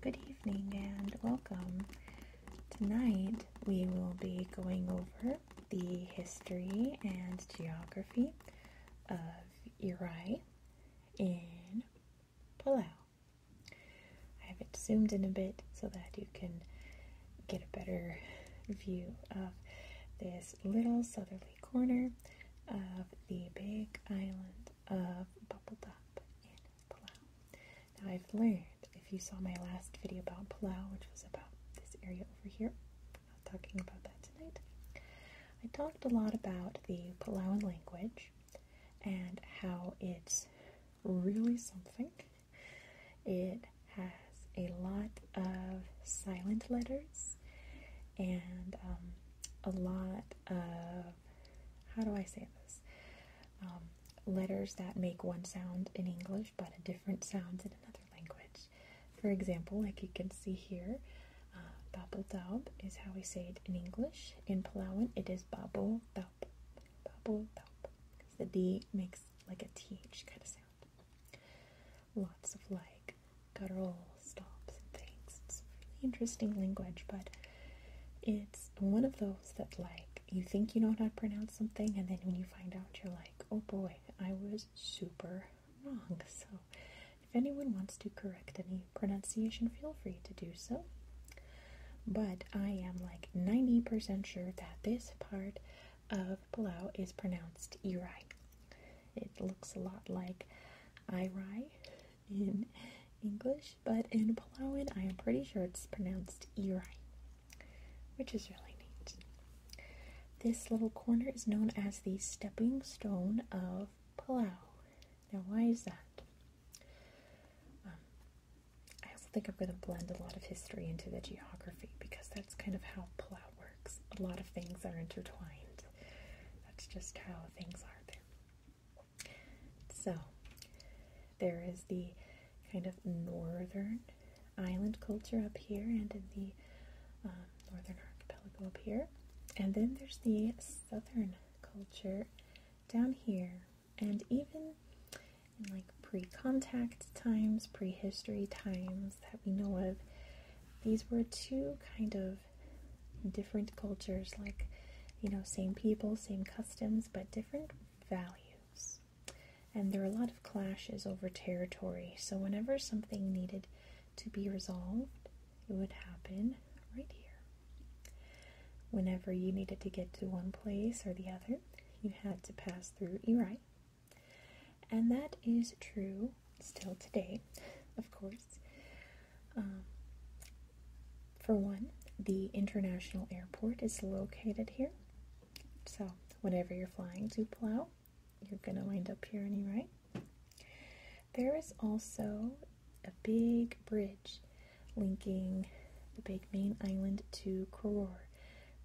Good evening and welcome. Tonight we will be going over the history and geography of Iri in Palau. I have it zoomed in a bit so that you can get a better view of this little southern corner of the big island of Bubble Top in Palau. Now, I've learned if you saw my last video about Palau, which was about this area over here, I'm not talking about that tonight. I talked a lot about the Palauan language and how it's really something. It has a lot of silent letters and um, a lot of how do I say this? Um, letters that make one sound in English but a different sound in another language. For example, like you can see here, uh, daub is how we say it in English. In Palawan, it is babel daub. Babel daub. Because the D makes like a TH kind of sound lots of like guttural stops and things. It's really interesting language, but it's one of those that like you think you know how to pronounce something, and then when you find out, you're like, oh boy, I was super wrong. So, if anyone wants to correct any pronunciation, feel free to do so. But I am like 90% sure that this part of Palau is pronounced Irai. It looks a lot like Irai in English, but in Palauan, I am pretty sure it's pronounced Irai, which is really neat. This little corner is known as the stepping stone of Palau. Now, why is that? Um, I also think I'm going to blend a lot of history into the geography because that's kind of how Palau works. A lot of things are intertwined. That's just how things are there. So, there is the kind of northern island culture up here and in the um, northern archipelago up here. And then there's the southern culture down here. And even in like pre contact times, pre history times, that we know of. These were two kind of different cultures, like, you know, same people, same customs, but different values. And there were a lot of clashes over territory. So, whenever something needed to be resolved, it would happen right here. Whenever you needed to get to one place or the other, you had to pass through Erie, and that is true still today, of course. Um, for one, the international airport is located here. So, whenever you're flying to Palau, you're going to wind up here anyway. There is also a big bridge linking the big main island to Koror.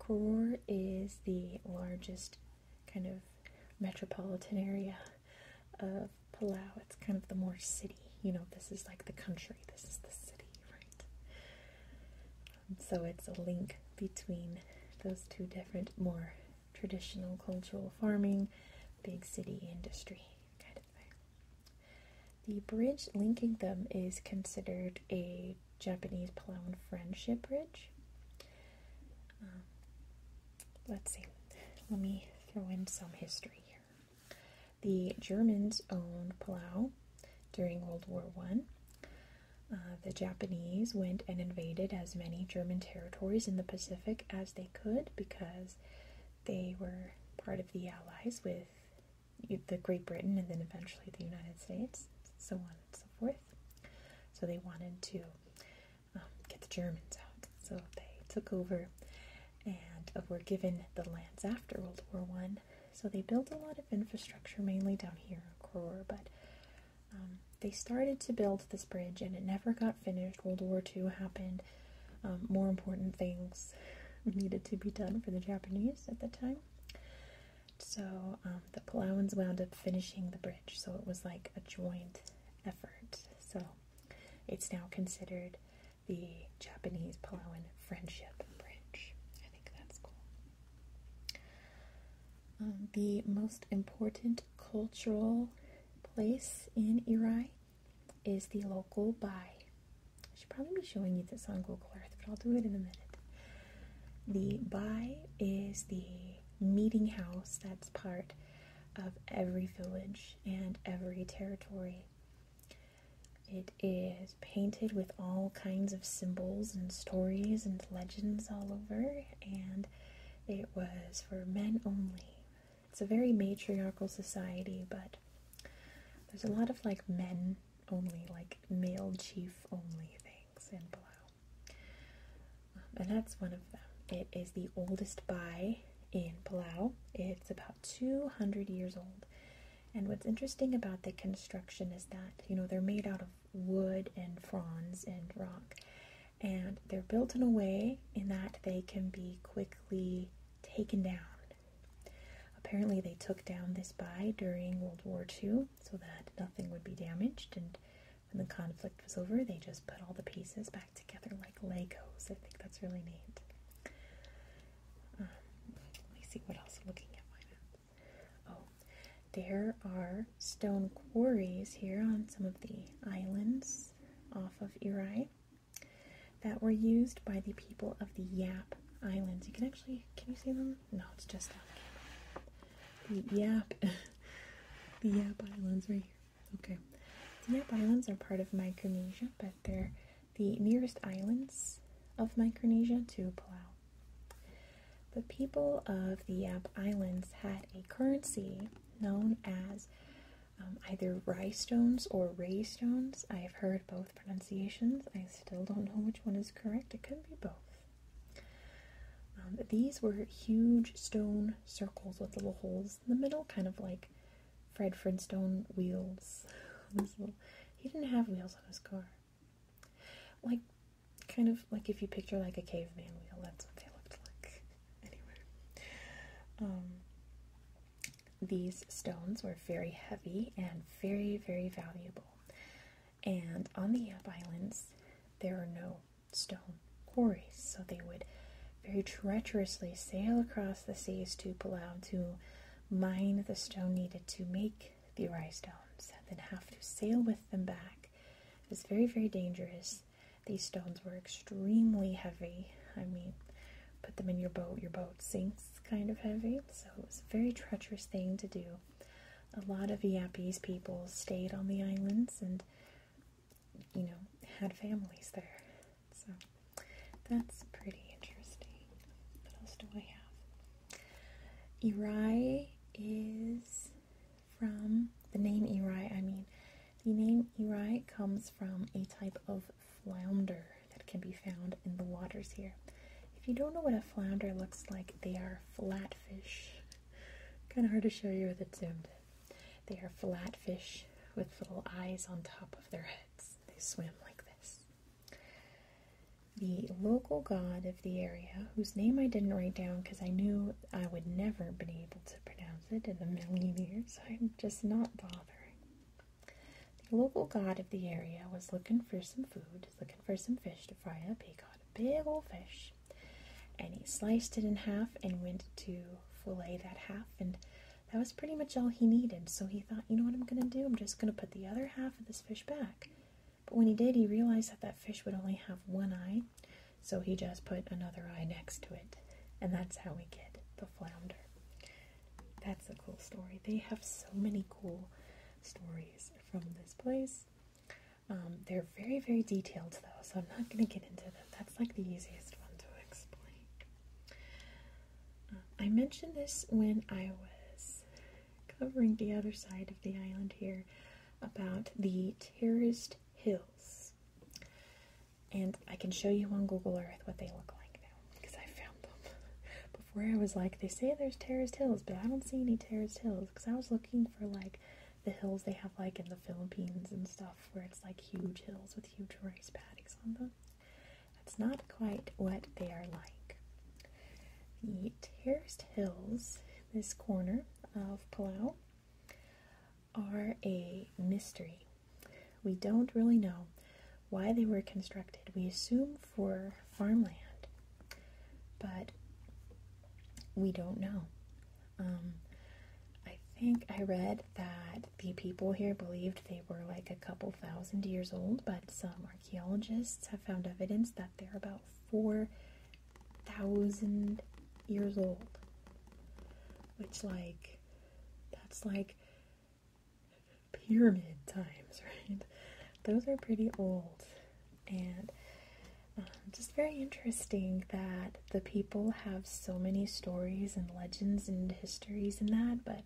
Koror is the largest kind of metropolitan area of Palau. It's kind of the more city. You know, this is like the country, this is the city, right? Um, so it's a link between those two different, more traditional cultural farming, big city industry kind of thing. The bridge linking them is considered a Japanese Palawan Friendship Bridge. Um, let's see, let me throw in some history here. The Germans owned Palau during World War One. Uh, the Japanese went and invaded as many German territories in the Pacific as they could because they were part of the Allies with the Great Britain and then eventually the United States, so on and so forth. So they wanted to um, get the Germans out, so they took over and uh, were given the lands after World War One. So they built a lot of infrastructure, mainly down here in Koror, but um, they started to build this bridge and it never got finished. World War Two happened. Um, more important things needed to be done for the Japanese at the time. So um, the Palauans wound up finishing the bridge, so it was like a joint effort. So it's now considered the Japanese Palauan Friendship Bridge. I think that's cool. Um, the most important cultural place in Irai is the local bai should probably be showing you this on Google Earth, but I'll do it in a minute. The by is the meeting house that's part of every village and every territory. It is painted with all kinds of symbols and stories and legends all over, and it was for men only. It's a very matriarchal society, but there's a lot of like men only like male chief only things in Palau. Um, and that's one of them. It is the oldest by in Palau. It's about 200 years old. And what's interesting about the construction is that, you know, they're made out of wood and fronds and rock. And they're built in a way in that they can be quickly taken down Apparently, they took down this buy during World War II so that nothing would be damaged, and when the conflict was over, they just put all the pieces back together like Legos. I think that's really neat. Um, let me see what else looking at Oh, there are stone quarries here on some of the islands off of Erie that were used by the people of the Yap Islands. You can actually can you see them? No, it's just on camera. The Yap, the Yap Islands right here. Okay, the Yap Islands are part of Micronesia, but they're the nearest islands of Micronesia to Palau. The people of the Yap Islands had a currency known as um, either rye or ray I have heard both pronunciations. I still don't know which one is correct. It could be both. Um, these were huge stone circles with little holes in the middle, kind of like Fred Fredstone wheels. he didn't have wheels on his car. Like, kind of like if you picture like a caveman wheel, that's what they looked like. anyway. Um, these stones were very heavy and very, very valuable. And on the Islands, there were no stone quarries, so they would very treacherously sail across the seas to Palau to mine the stone needed to make the rye stones, and then have to sail with them back. It was very, very dangerous. These stones were extremely heavy. I mean, put them in your boat. Your boat sinks kind of heavy, so it was a very treacherous thing to do. A lot of Yapese people stayed on the islands and, you know, had families there. So that's pretty interesting. What else do I have? Irai is from the name Irai, I mean, the name Irai comes from a type of flounder that can be found in the waters here. If you don't know what a flounder looks like, they are flatfish. Kind of hard to show you with it zoomed They are flatfish with little eyes on top of their heads. They swim like this. The local god of the area, whose name I didn't write down because I knew I would never be able to pronounce it in a million years, so I'm just not bothering. The local god of the area was looking for some food, looking for some fish to fry up. He caught a big old fish and he sliced it in half and went to fillet that half. And that was pretty much all he needed. So he thought, you know what I'm going to do? I'm just going to put the other half of this fish back. But when he did, he realized that that fish would only have one eye. So he just put another eye next to it. And that's how we get the flounder. That's a cool story. They have so many cool stories from this place. Um, they're very, very detailed though, so I'm not going to get into them. That's like the easiest one to explain. Uh, I mentioned this when I was covering the other side of the island here about the terraced hills and I can show you on Google Earth what they look like now because I found them. Before I was like, they say there's terraced hills, but I don't see any terraced hills because I was looking for like the hills they have like in the Philippines and stuff where it's like huge hills with huge rice paddies on them. That's not quite what they are like. The terraced hills, this corner of Palau, are a mystery we don't really know why they were constructed. We assume for farmland, but we don't know. Um, I think I read that the people here believed they were like a couple thousand years old, but some archaeologists have found evidence that they're about 4,000 years old. Which, like, that's like pyramid times, right? Those are pretty old. And um, just very interesting that the people have so many stories and legends and histories and that, but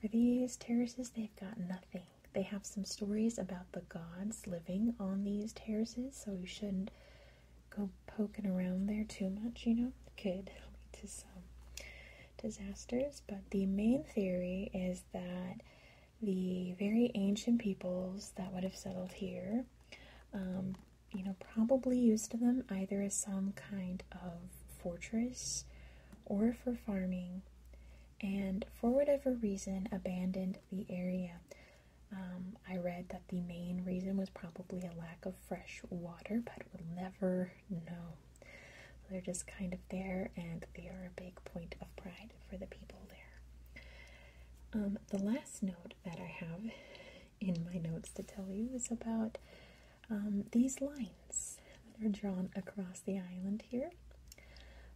for these terraces, they've got nothing. They have some stories about the gods living on these terraces, so you shouldn't go poking around there too much, you know, could lead to some disasters. But the main theory is that the very ancient peoples that would have settled here, um, you know, probably used them either as some kind of fortress or for farming, and for whatever reason abandoned the area. Um, I read that the main reason was probably a lack of fresh water, but will never know. They're just kind of there, and they are a big point of pride for the people there. Um, the last note that I have in my notes to tell you is about um, these lines that are drawn across the island here.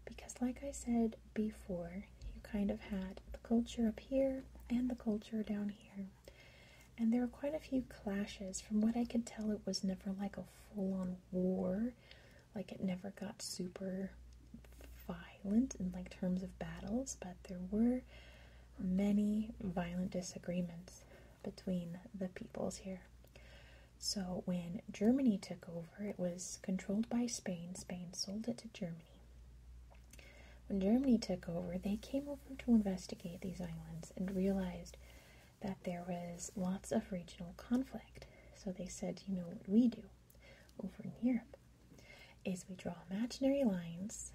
Because, like I said before, you kind of had the culture up here and the culture down here. And there were quite a few clashes. From what I could tell, it was never like a full on war. Like it never got super violent in like terms of battles, but there were many violent disagreements between the peoples here. So when Germany took over, it was controlled by Spain. Spain sold it to Germany. When Germany took over, they came over to investigate these islands and realized that there was lots of regional conflict. So they said, you know what we do over in Europe is we draw imaginary lines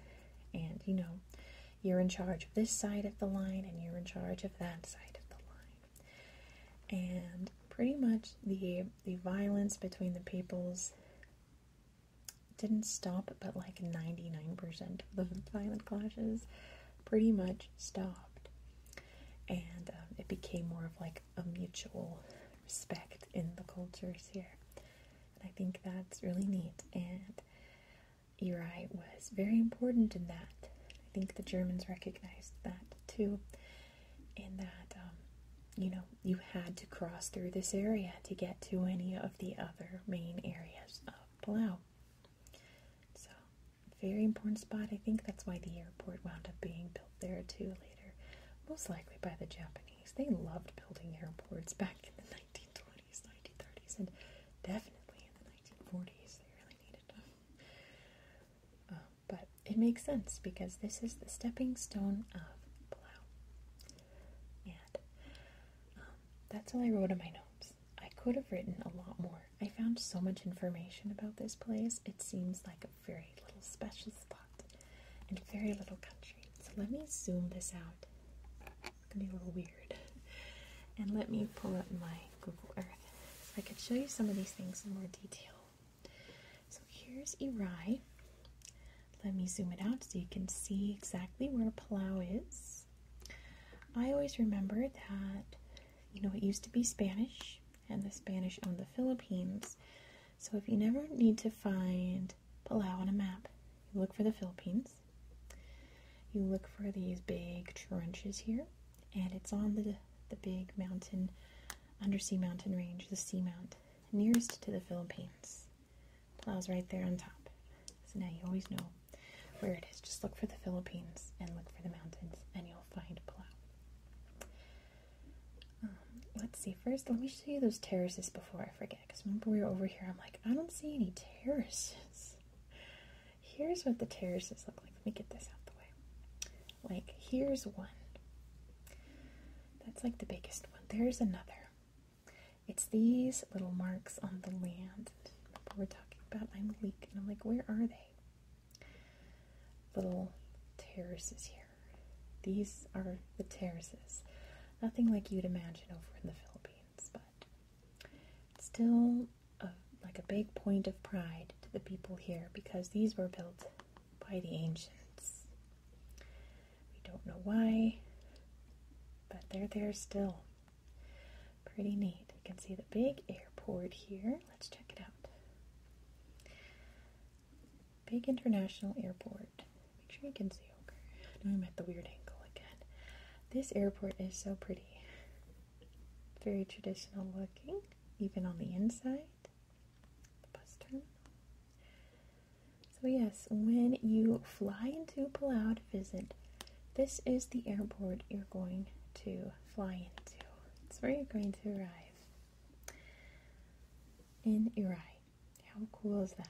and you know you're in charge of this side of the line and you're in charge of that side of the line. And pretty much the the violence between the peoples didn't stop, but like 99% of the violent clashes pretty much stopped. And um, it became more of like a mutual respect in the cultures here. And I think that's really neat. And Uri was very important in that. I think the Germans recognized that too, in that, um, you know, you had to cross through this area to get to any of the other main areas of Palau. So, very important spot. I think that's why the airport wound up being built there too later, most likely by the Japanese. They loved building airports back in the 1920s, 1930s, and definitely in the 1940s. They really needed them. Um, but it makes sense because this is the stepping stone of Palau and um, that's all I wrote in my notes. I could have written a lot more. I found so much information about this place. It seems like a very little special spot and very little country. So let me zoom this out. It's gonna be a little weird. And let me pull up my Google Earth so I could show you some of these things in more detail. So here's Erai. Let me zoom it out so you can see exactly where Palau is. I always remember that, you know, it used to be Spanish and the Spanish owned the Philippines. So if you never need to find Palau on a map, you look for the Philippines. You look for these big trenches here, and it's on the, the big mountain, undersea mountain range, the sea mount nearest to the Philippines plows right there on top. So now you always know where it is. Just look for the Philippines and look for the mountains, and you'll find plow. Um, let's see. First, let me show you those terraces before I forget. Because remember, we were over here. I'm like, I don't see any terraces. Here's what the terraces look like. Let me get this out the way. Like, here's one. That's like the biggest one. There's another. It's these little marks on the land. we're talking about I'm leak and I'm like, where are they? Little terraces here. These are the terraces. Nothing like you'd imagine over in the Philippines, but still a, like a big point of pride to the people here because these were built by the ancients. We don't know why, but they're there still. Pretty neat. You can see the big airport here. Let's check it out. Big international airport. Make sure you can see over. Now I'm at the weird angle again. This airport is so pretty. Very traditional looking, even on the inside. So, yes, when you fly into Palau to visit, this is the airport you're going to fly into. It's where you're going to arrive in Uri. How cool is that?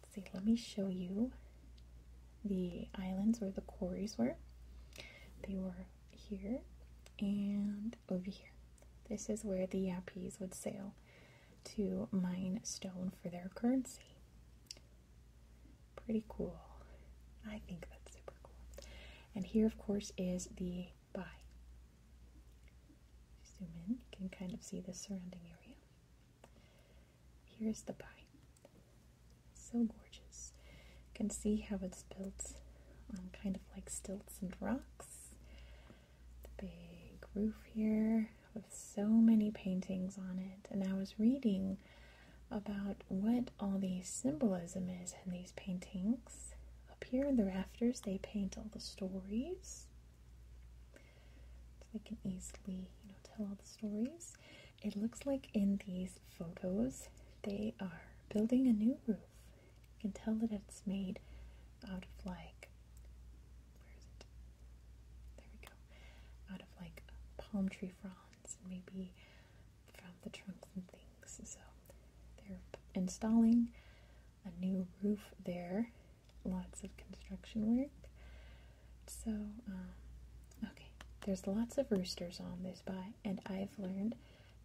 Let's see, let me show you the islands where the quarries were. They were here and over here. This is where the Yapis would sail to mine stone for their currency. Pretty cool. I think that's super cool. And here, of course, is the bay. Zoom in, you can kind of see the surrounding area. Here's the bay. So gorgeous. You can see how it's built on kind of like stilts and rocks. The big roof here with so many paintings on it. And I was reading about what all the symbolism is in these paintings. Up here in the rafters, they paint all the stories. So they can easily, tell all the stories. It looks like in these photos, they are building a new roof. You can tell that it's made out of like, There we go. Out of like palm tree fronds, and maybe from the trunks and things. So they're installing a new roof there. Lots of construction work. So, um, okay, there's lots of roosters on this buy, and I've learned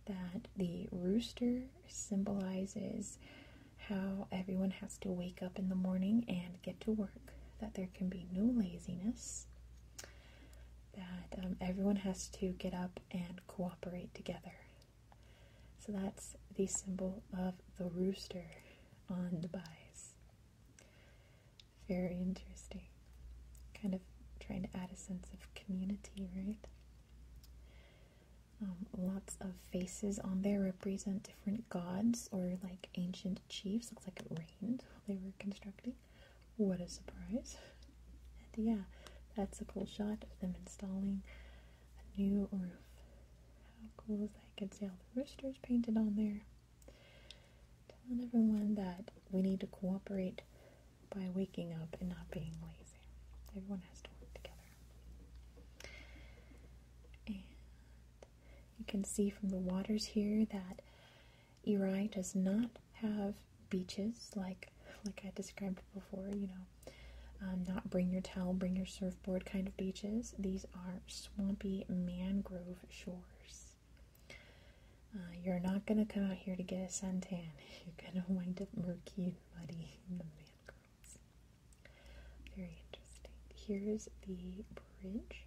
that the rooster symbolizes how everyone has to wake up in the morning and get to work, that there can be no laziness, that um, everyone has to get up and cooperate together. So that's the symbol of the rooster on the bise. Very interesting kind of trying to add a sense of community, right? Um, lots of faces on there represent different gods or like ancient chiefs. Looks like it rained while they were constructing. What a surprise! And yeah, that's a cool shot of them installing a new roof. How cool is that? You can see all the roosters painted on there. Telling everyone that we need to cooperate by waking up and not being lazy. Everyone has to work together. And you can see from the waters here that Erie does not have beaches like like I described before, you know, um, not bring your towel, bring your surfboard kind of beaches. These are swampy mangrove shores. Uh, you're not going to come out here to get a suntan. You're going to wind up murky and muddy in the mangroves. Very interesting. Here's the bridge.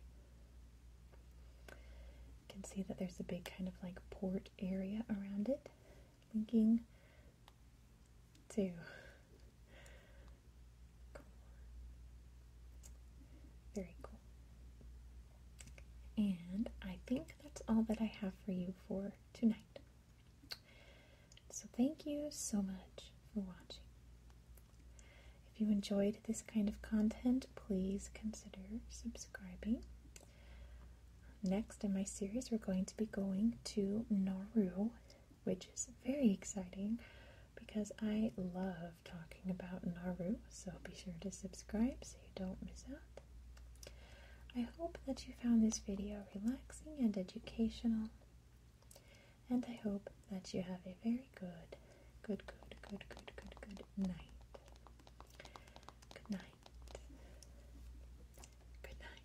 You can see that there's a big kind of like port area around it, linking Two. Very cool. And I think that's all that I have for you for tonight. So thank you so much for watching. If you enjoyed this kind of content, please consider subscribing. Next in my series, we're going to be going to Naru, which is very exciting because I love talking about Naru, so be sure to subscribe so you don't miss out. I hope that you found this video relaxing and educational, and I hope that you have a very good, good, good, good, good, good, Good night. Good night. Good night. Good night.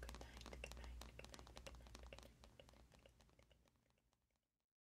Good night. Good night. Good night.